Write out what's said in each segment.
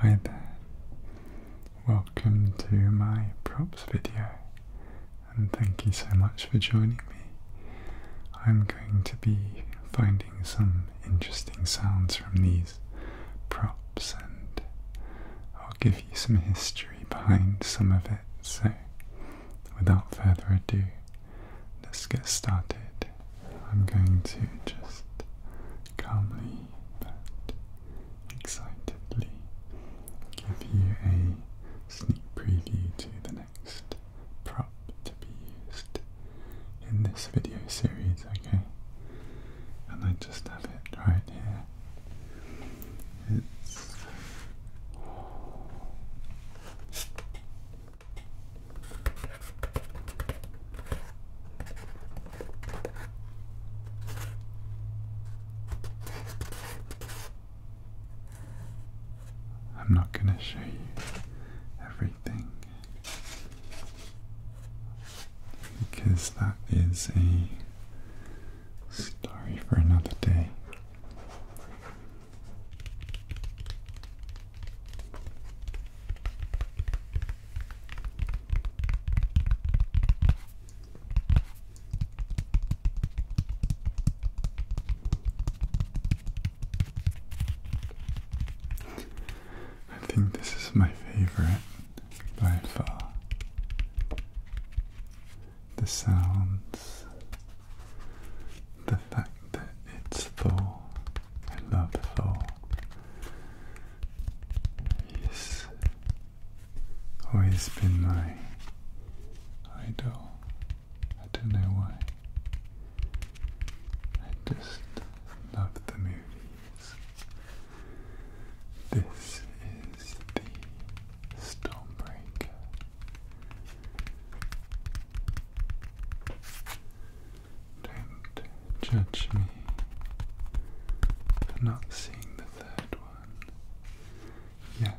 Hi there, welcome to my props video and thank you so much for joining me. I'm going to be finding some interesting sounds from these props and I'll give you some history behind some of it. So, without further ado, let's get started. I'm going to just calmly that excitedly give you a sneak preview to the next prop to be used in this video series, okay? And I just have it right here. I'm not going to show you everything because that is a story for another day. I think this is my favorite by far. The sounds, the fact that it's Thor. I love Thor. He's always been my idol. I don't know why. I just love the movies. This is the Stormbreaker. Don't judge me for not seeing the third one yet.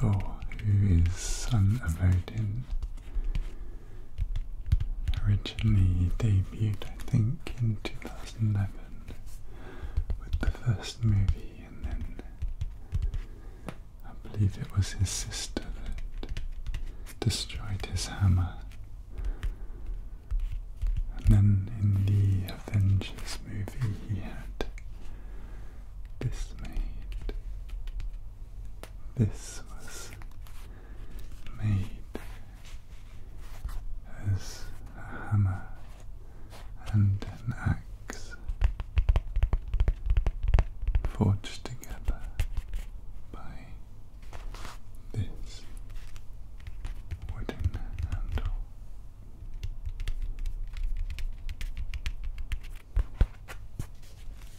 Thor, who is son of Odin, Originally debuted, I think, in 2011 with the first movie, and then I believe it was his sister that destroyed his hammer. And then in the Avengers movie, he had this made. This was made as a hammer and an axe forged together by this wooden handle.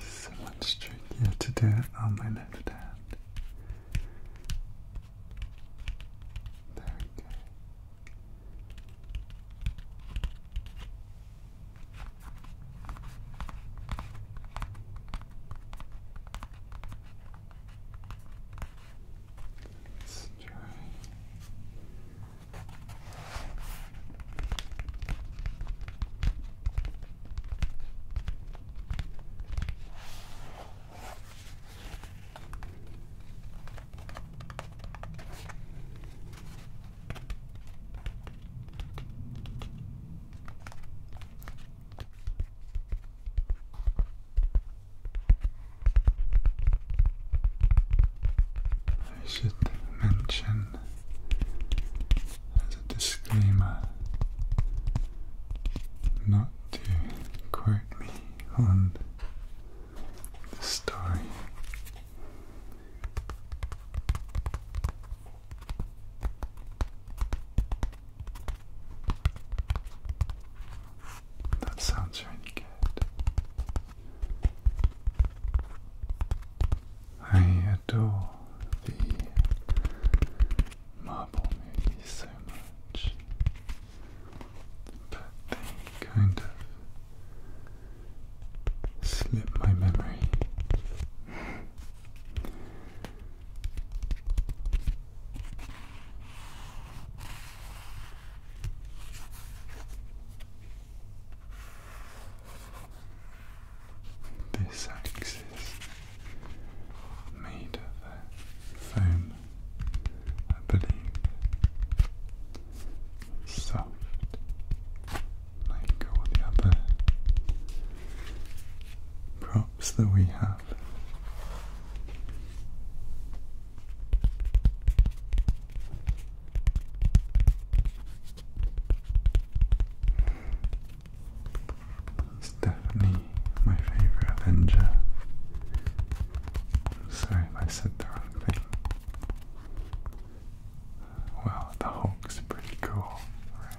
So much trickier to do it on oh, my left hand. There we Let's try. I should mention as a disclaimer not to quote me on story. That sounds really good. I adore the Marvel movie so much but they kind of slip my memory. This axis made of foam I believe. Soft, like all the other props that we have. He's my favorite Avenger. Sorry if I said the wrong thing. Well, the Hulk's pretty cool, right?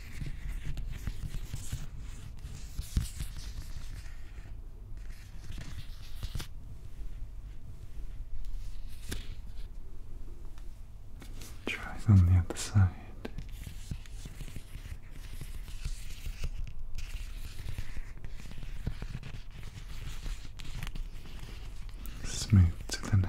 Try on the other side. Smooth to the nails.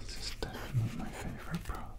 This is definitely my favorite prop.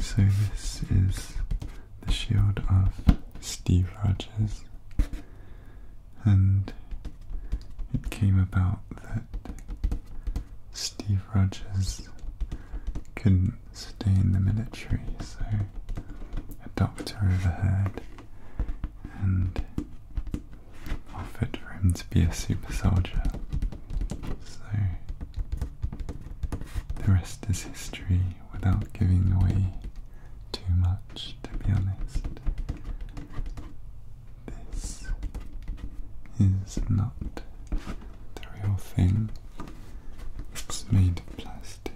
So, this is the shield of Steve Rogers, and it came about that Steve Rogers couldn't stay in the military, so a doctor overheard and offered for him to be a super soldier. So the rest is history without giving away too much, to be honest. This is not the real thing, it's made of plastic.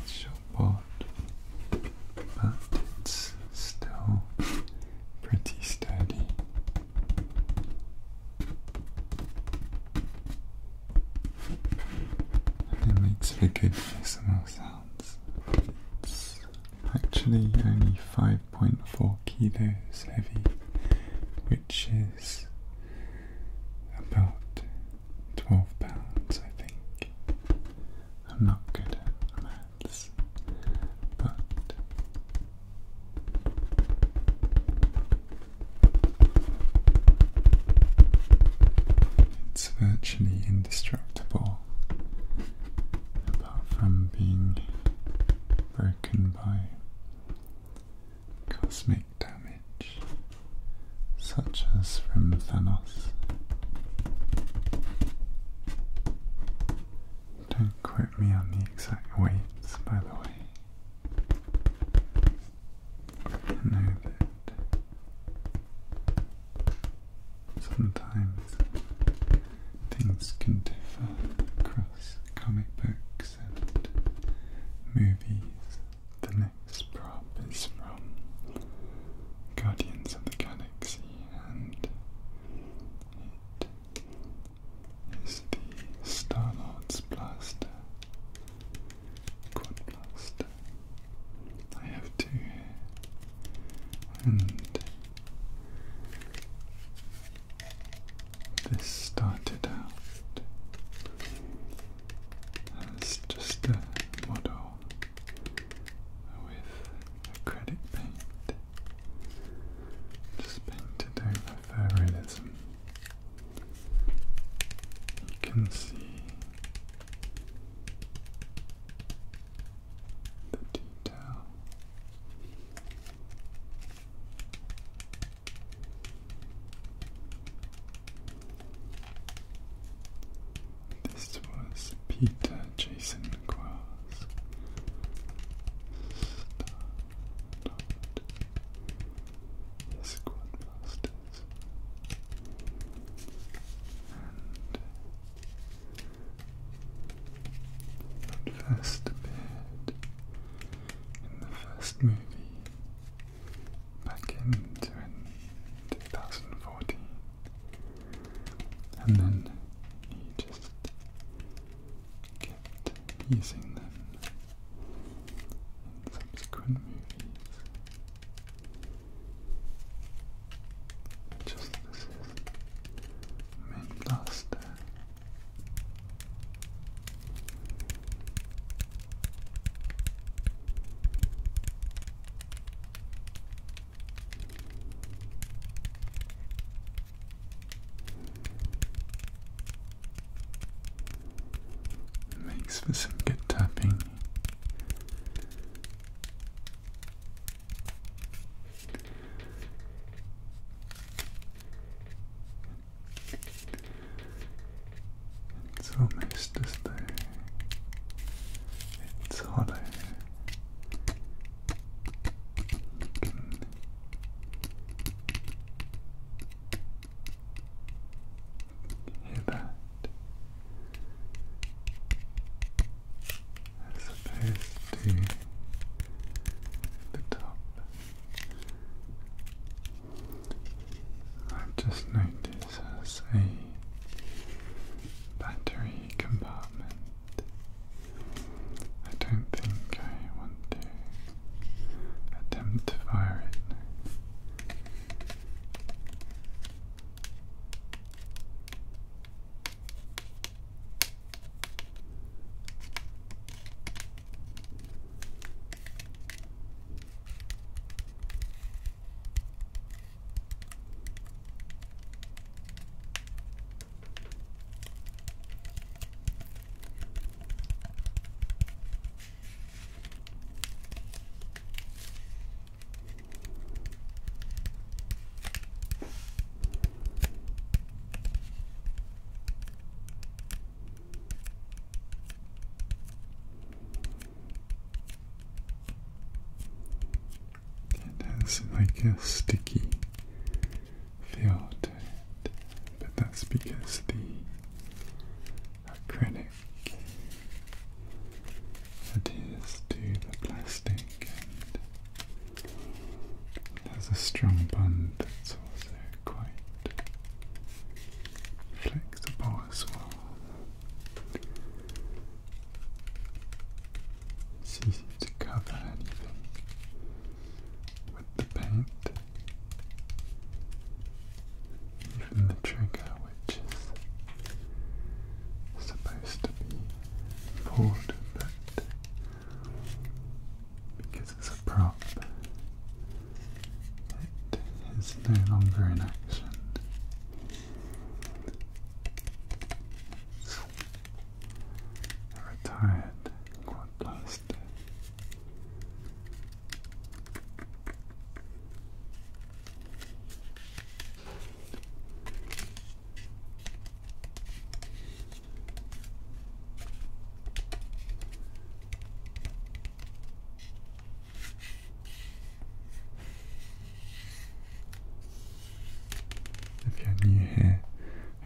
It's short-bought, but it's still pretty sturdy. It makes for good ASMR sounds. It's actually only 5.4 kilos heavy, which is about 12 pounds, I think. I'm not good at maths, but it's virtually indestructible, apart from being broken by cosmic damage, such as from Thanos. Don't quote me on the exact weights, by the way sometimes things can differ across comic books and movies. The next prop is from Guardians of the Galaxy and it is the Starlord's blaster, quad blaster. I have two and this started out as just a model with acrylic paint just painted over my realism. You can see the detail. This was Peter Jason Quarles. Star the first appeared in the first movie back in 2014 and then he just using them in subsequent movies. Just this is main blaster. Makes for some good tapping. It's almost as though it's hollow. Hear As opposed to the top. i just noticed a battery compartment I don't think I want to attempt to fire it. It has like a sticky but that's because the acrylic adheres to the plastic and has a strong bond that's also quite flexible as well. It's easy to cover anything with the paint. Even the trigger, which is supposed to be pulled, but because it's a prop, it is no longer in action. It's retired quad if you're new here,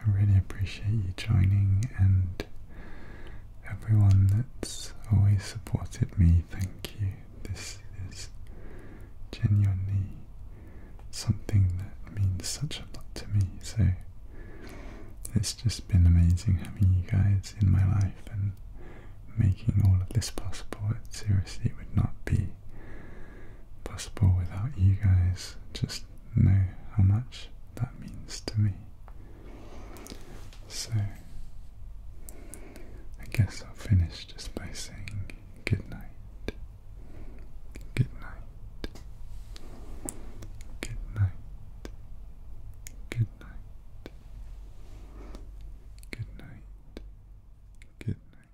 I really appreciate you joining and everyone that's always supported me, thank you. This is genuinely something that means such a lot to me. So it's just been amazing having you guys in my life and making all of this possible. It seriously would not be possible without you guys. Just know how much that means to me. So, I guess I'll finish just by saying good night. Good night. Good night. Good night. Good night. Good night. Good night.